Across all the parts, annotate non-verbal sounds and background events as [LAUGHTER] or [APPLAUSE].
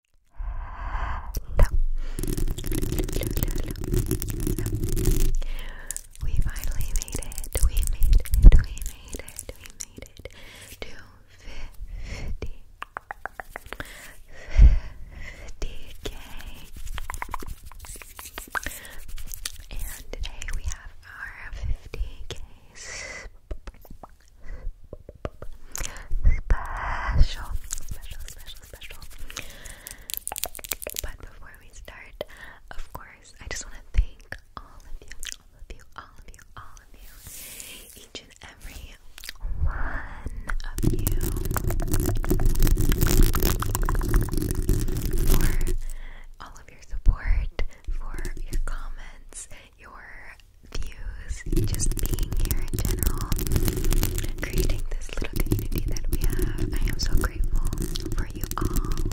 hello. We finally made it. We made it. We made it. We made it to 50k. And today we have our 50k special, special, special, special. But before we start, of course, I just want to thank all of you, all of you, all of you, all of you, each and every one of you for all of your support, for your comments, your views, just being here in general, creating this little community that we have. I am so grateful for you all. And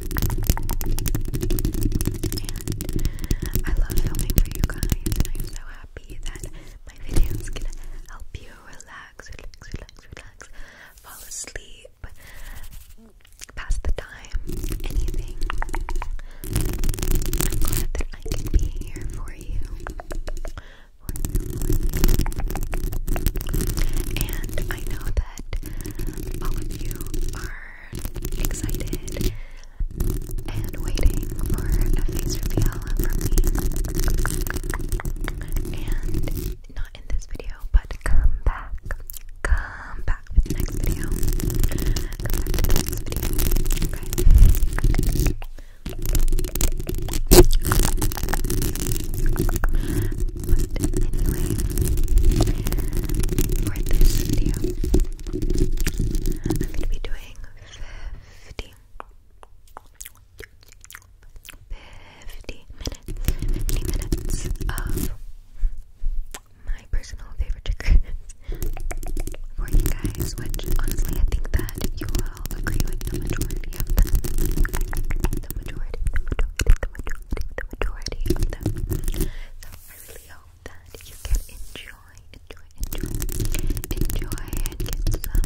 I love filming for you guys, and I'm so happy that my videos can help you relax, relax, relax, relax, fall asleep. Pass the time, anything. I'm glad that I can be here for you. And I know that all of you are excited and waiting for a face reveal from me. And not in this video, but come back. Come back with the next video anyway, for this video, I'm going to be doing 50 50 minutes, 50 minutes of my personal favorite triggers [LAUGHS] for you guys, which honestly I think that you I'll agree with the majority of them. The majority, the majority, the majority, the majority So I really hope that you can enjoy, enjoy, enjoy, enjoy, and get some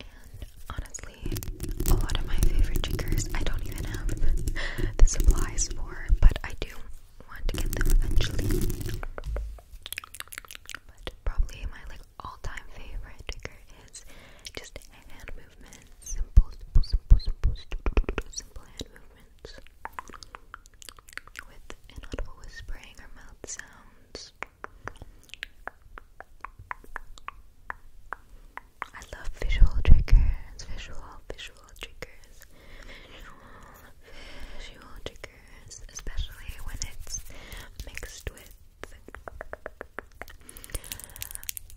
and honestly, a lot of my favorite tickers, I don't even have [LAUGHS] the supplies for, but I do want to get them eventually. But probably my like all-time favorite trigger is just hand movements. Simple, simple, simple, simple, simple hand movements. With inaudible whispering or mouth sounds. I love visual triggers, visual, visual triggers, visual triggers, especially when it's mixed with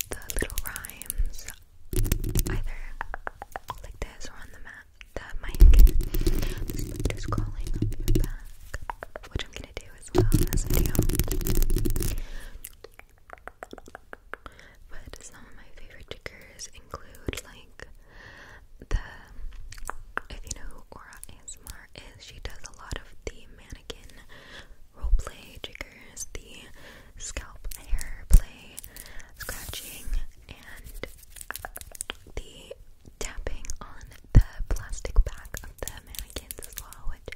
the little rhymes, either like this or on the mat, the mic. This is crawling back, which I'm gonna do you But some of my favorite triggers include like the if you know who Aura ASMR is, she does a lot of the mannequin roleplay triggers, the scalp hair play, scratching, and the tapping on the plastic back of the mannequins as well, which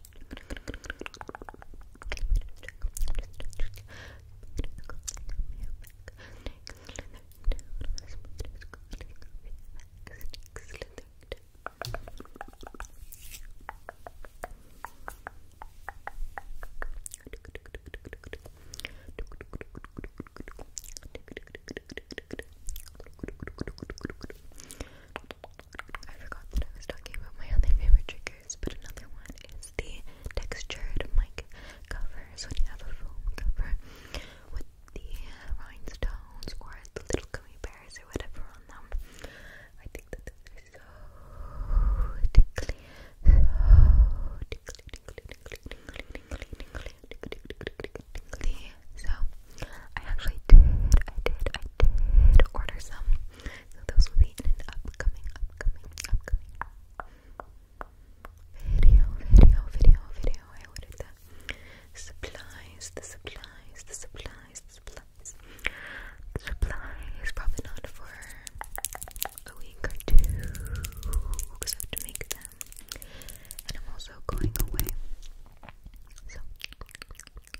I forgot that I was talking about my other favorite trick but another one is the textured mic covers when you have a foam cover with the rhinestones or the little gummy bears or whatever on them. I think that those are so tickly, so tickly, tickly, tickly, tickly, tickly, tickly, tickly, tickly, tickly, tickly. So I actually did, I did, I did order some so those will be in an upcoming, upcoming, upcoming video, video, video, video. I ordered the supplies, the supplies, the supplies, the supplies. The supplies probably not for a week or two because I have to make them. And I'm also going away. So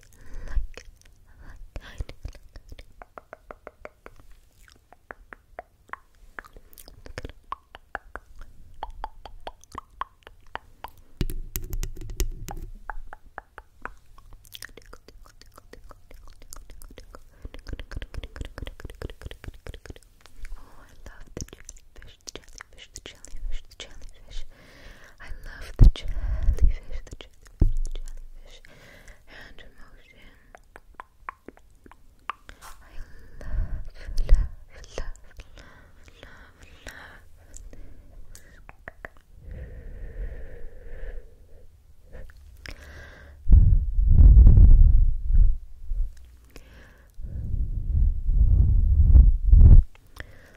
like, like I do. Oh, I love the jellyfish, the jellyfish, the jellyfish, the jellyfish. I love the jellyfish, the jellyfish, hand motion. I love, love, love, love, love, love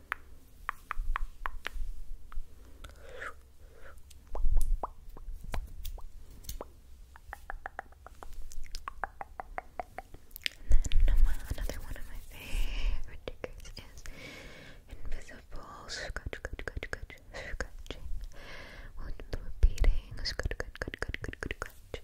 And then my, another one of my favorite triggers is invisible scratch, scratch, scratch, scratch, scratching. Well, repeating scratch, scratch, scratch, scratch, scratch, scratch, and rake, rake,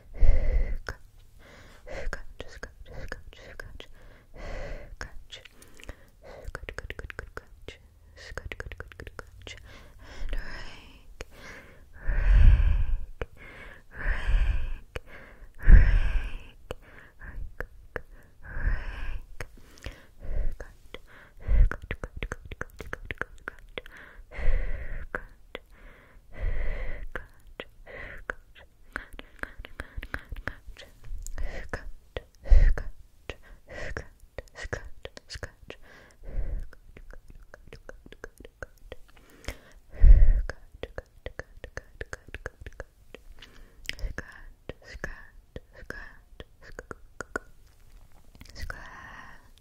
scratch, scratch, scratch, scratch, Good, good, good, good, crunch. Good, good, good, good, crunch. And rake, rake, rake, rake, rake, rake. Good, good, good, good, good, good, good, good, good, good, Good. Good. Good. Good. Good. Good. Good. Scratch, scratch. Good, good, good, good, good. Good, good, good, good, good, good, good. Scratch, scratch, scratch, scratch, scratch,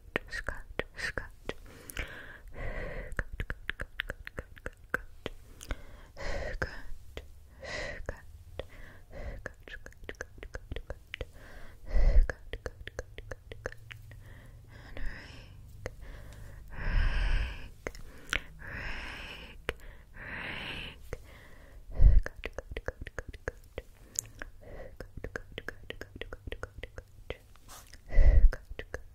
scratch, scratch. Good, good, good, good, good, good, good. Good, good, good, good, good, good, good. Good, good, good, good, good. And rake, rake, rake, rake. Good, good, good, good, good. Good, good, good, good, good, good, good. Good, good,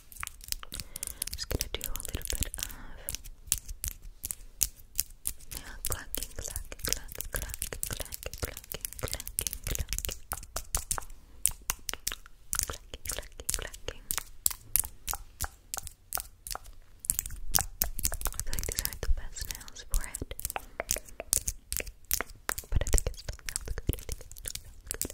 I'm just gonna do a little bit of yeah, clacking, clacking, clacking, clacking, clacking, clacking, clacking, clacking, clacking, I feel like these aren't the best nails for it, but I think it still sounds good.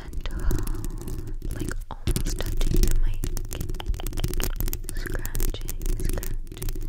gentle, uh, like almost touching the mic. Scratching, scratching.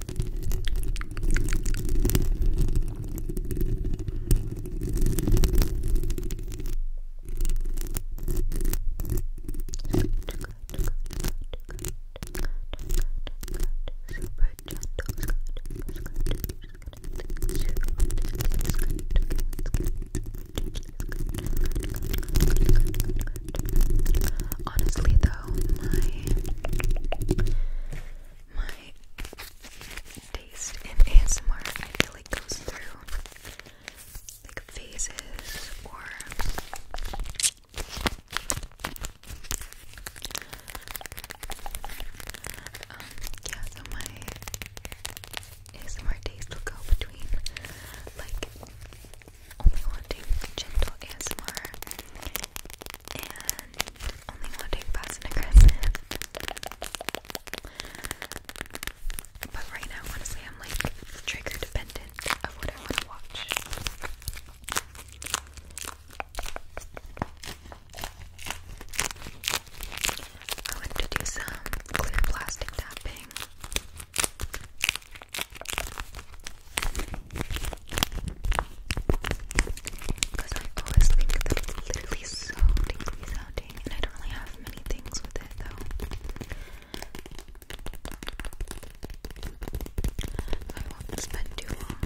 Honestly, though, my my my taste in ASMR I feel like goes through like phases or um, yeah so my ASMR taste will go between like only wanting gentle ASMR and only want to take fast and But right now, honestly, I'm like trigger dependent of what I want to watch. I wanted to do some clear plastic tapping. Because I always think that it's literally so tingly sounding, and I don't really have many things with it though. I won't spend too on it.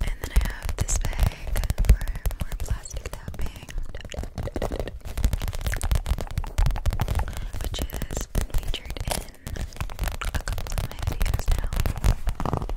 And then I have this bag for more plastic tapping, which has been featured in a couple of my videos now.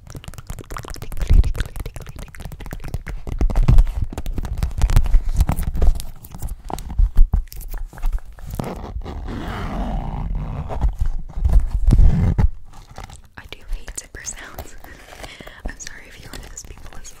I do hate zipper sounds. [LAUGHS] I'm sorry if you're one of those people as well.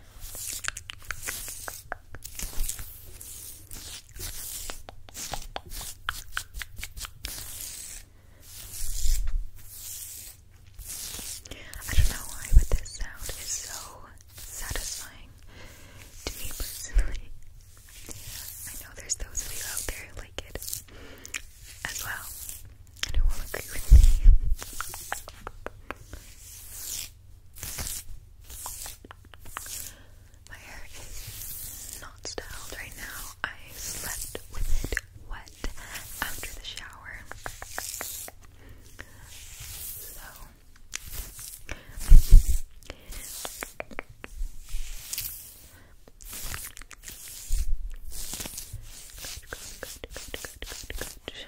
I don't know why, but this sound is so satisfying to me personally. [LAUGHS] I know there's those of you out there who like it as well. I don't want to agree with me. My hair is not styled right now. I slept with it wet after the shower. So Good, good, good, good, good, good.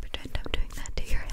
Pretend I'm doing that to your head.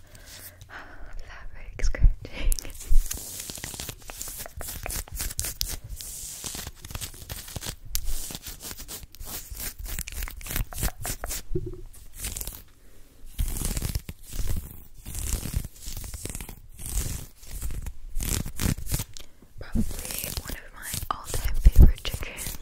fabric scratching. Probably one of my all-time favorite chickens.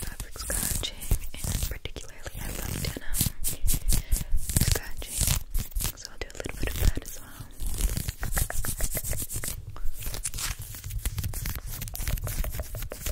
Fabric scratching, and particularly I love denim scratching, so I'll do a little bit of that as well.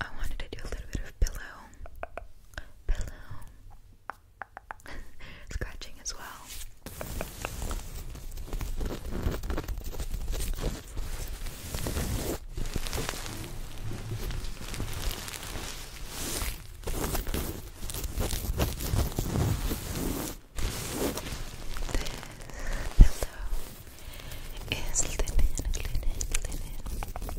I wanted to do a little bit of pillow pillow [LAUGHS] scratching as well. This pillow is linen, linen, linen, linen, linen,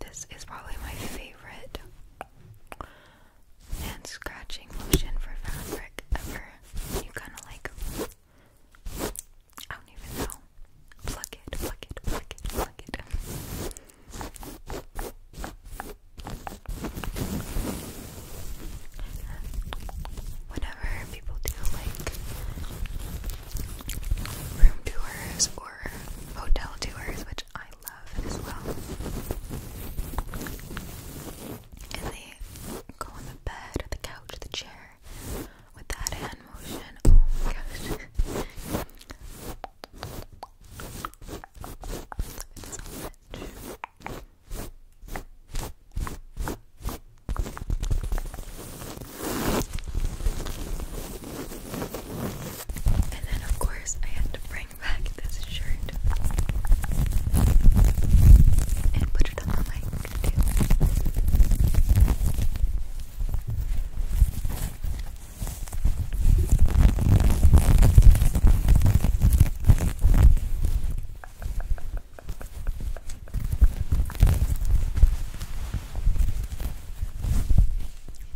This is probably my favorite hand scratching motion for fabric ever. You kind of like, I don't even know. Pluck it, pluck it, pluck it, pluck it. Whenever people do like room tours or hotel tours, which I love as well. And they go on the bed, the couch, the chair with that hand motion. Oh my gosh. [LAUGHS] It's so much. And then, of course, I had to bring back this shirt and put it on the mic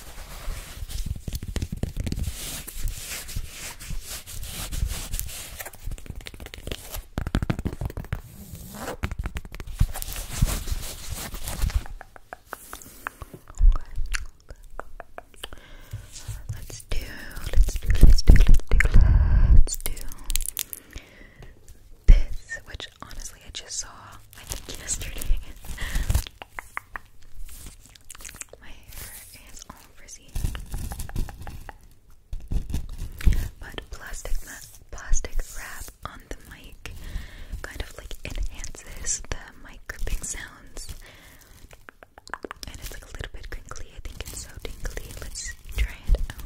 Let's do, let's do, let's do, let's do, let's do this, which honestly I just saw, I think yesterday. [LAUGHS] My hair is all frizzy. But plastic plastic wrap on the mic kind of like enhances the mic gripping sounds. And it's like a little bit crinkly. I think it's so tingly. Let's try it out.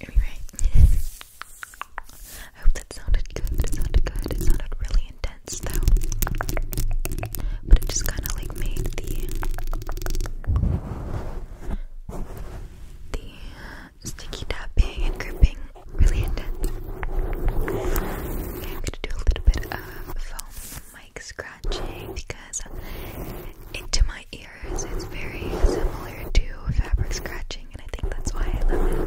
Anyway, I hope that sounded good. It sounded good. It sounded really intense though. But it just kind of like made the the sticky tapping and gripping really intense. I'm gonna do a little bit of foam mic scratching because into my ears it's very similar to fabric scratching, and I think that's why I love it.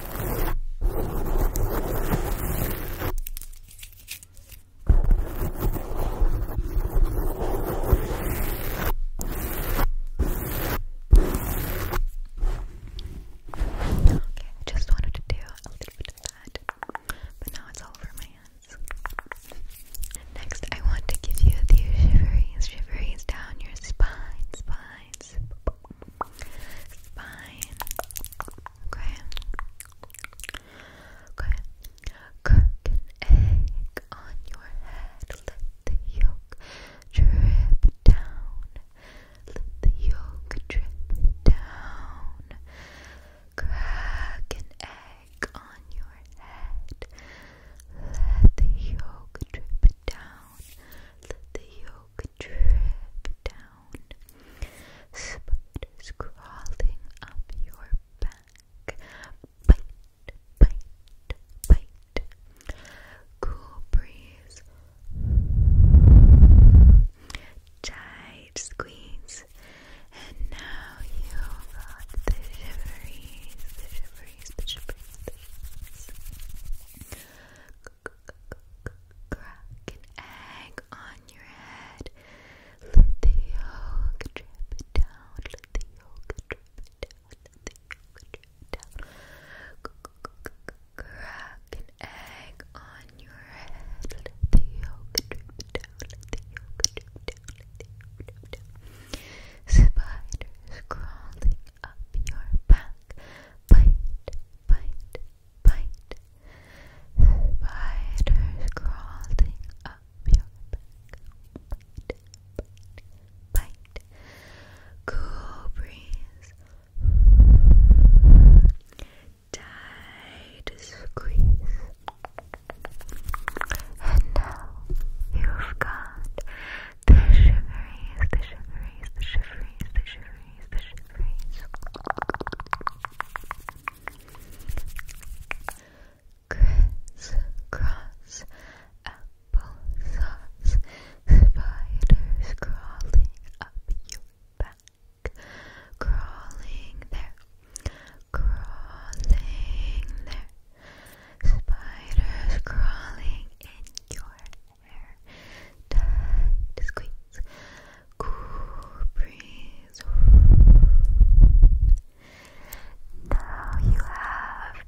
I just wanted to do a little bit of that, but now it's all over my hands. Next, I want to give you the shiveries, shivers down your spine, spine, spine spine. Okay. an egg on your head. Let the yolk drip down. Let the yolk drip down. Crack an egg on your head. Let the yolk drip down. Let the yolk smoke down, spiders crawling up your back. Bite, bite, bite. Cool breeze. Tight squeeze. And now you've got the shiveries, the shiveries, the shiveries, crack an egg on your head. Let the yolk drip down. Let the yolk drip down. Let the yolk drip down. Crack an egg on your head. Let the yolk drip down. Let the yolk drip down. Let the yolk drip down. Spiders crawling up your back. Bite, bite, bite. Spiders crawling up your back. Bite, bite, bite. Cool breeze. Tight squeeze. And now you've got the shiveries, the shiveries, the shiveries, the shiveries phrase, the apple sauce, spiders crawling up your back, crawling there, crawling there, spiders crawling in your air Cool breeze. Now you have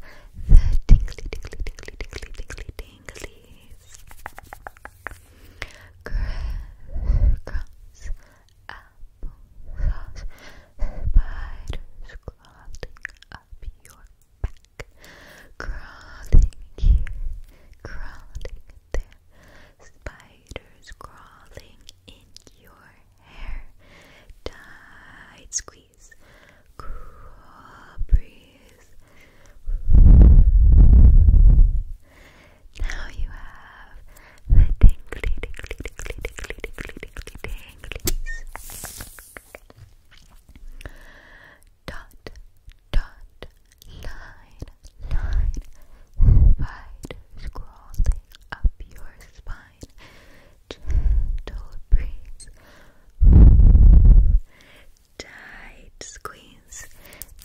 the tingly, tingly, tingly, tingly, tingly, tinglies. Grass, apple spiders crawling up your crawling crawling there, spiders crawling in your hair, tight squeeze, cool breeze. Now you have the tingly, tingly, tingly, tingly, tingly, tingly, tinglies. Dot, dot, line, line, wide, scrolling up your spine, gentle breeze, tight squeeze.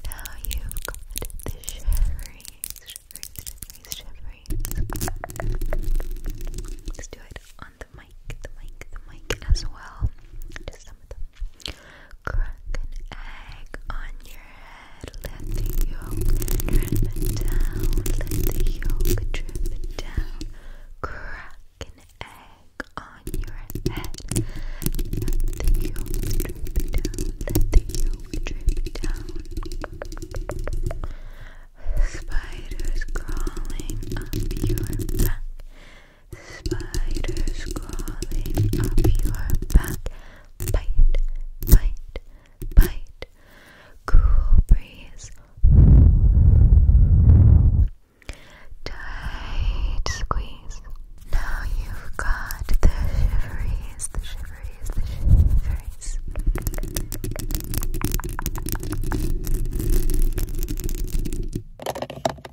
Now you've got the shiveries, shiveries, shiveries, shiveries. Let's do it on the mic, the mic, the mic as well. Just some of them. Crack an egg on your head. Let the yolk drip down. Let the yolk drip down. Crack an egg on your head. Let the yolk drip down. Let the yolk drip down. Spiders crawling up your back. Spiders crawling up your back. Bite, bite, bite. Cool breeze. Tight squeeze. Now you've got the shiveries,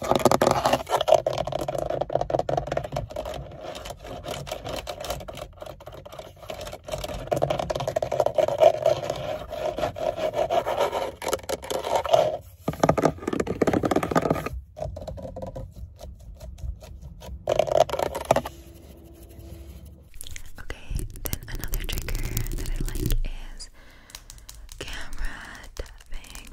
Okay, then another trigger that I like is camera tapping,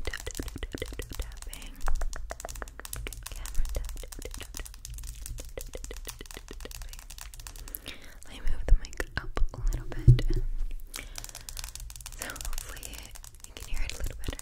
Let me move the mic up a little bit. So hopefully you can hear it a little better.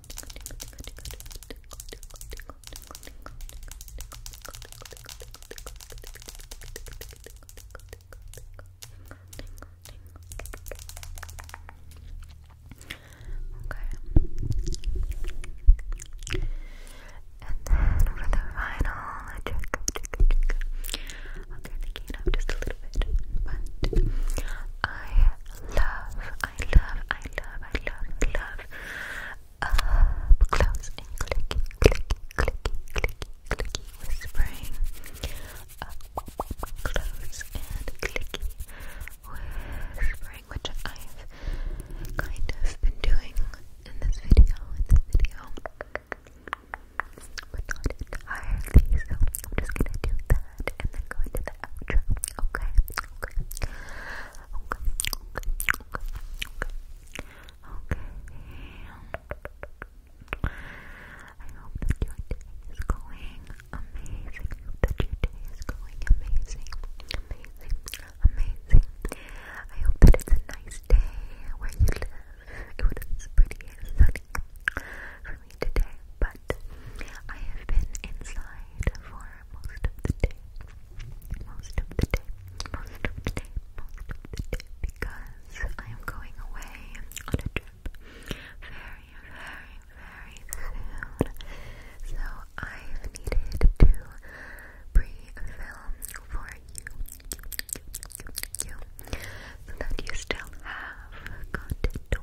Okay. And then for the final I'm gonna gain up just a little bit, but I love I love, I love, I love, love up uh, close and clicky, clicky, clicky, clicky, clicky whispering. Up uh, close and clicky whispering, which I've kind of been doing in this video, in this video. But not entirely, so I'm just gonna do that and then go into the Okay. Okay. Okay. Okay. Okay. Okay. I hope that your day is going amazing. that your day is going amazing. Amazing. Amazing. I hope that it's a nice day where you live. It was pretty and sunny for me today, but but I have been inside for most of the day. Most of the day. Most of the day. Most of the day. Because I am going away on a trip very, very, very soon. So I've needed to pre-film for you, so that you still have content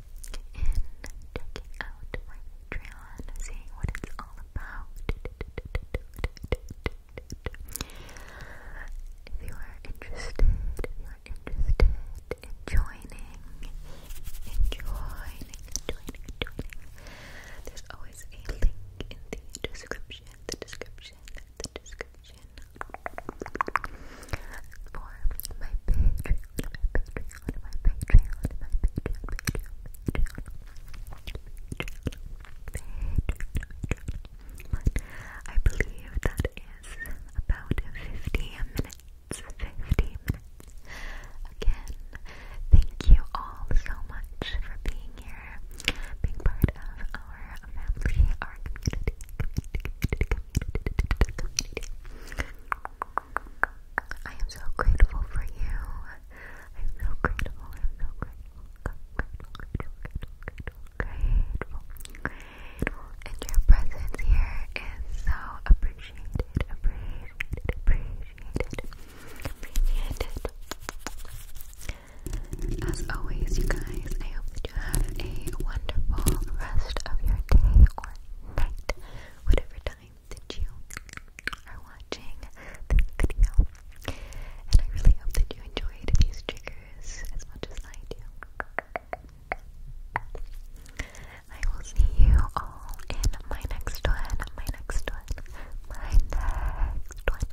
in checking out my Patreon, seeing what it's all about. If you are interested, you are interested in joining, in joining, joining, there's always a link in the description, the description, the description for my Patreon. I believe that is about 50 minutes, 50 minutes. Again, thank you all so much for being here, being part of our family, I am so grateful for you. I'm so grateful. I'm so grateful. Grateful, grateful, grateful, grateful, grateful. And your presence here is so appreciated, appreciated, appreciated, appreciated. As always, you guys, I hope you have a wonderful rest of your day or night whatever time that you are watching this video. And I really hope that you enjoyed these triggers as much as I do. I will see you all in my next one, my next one, my next one.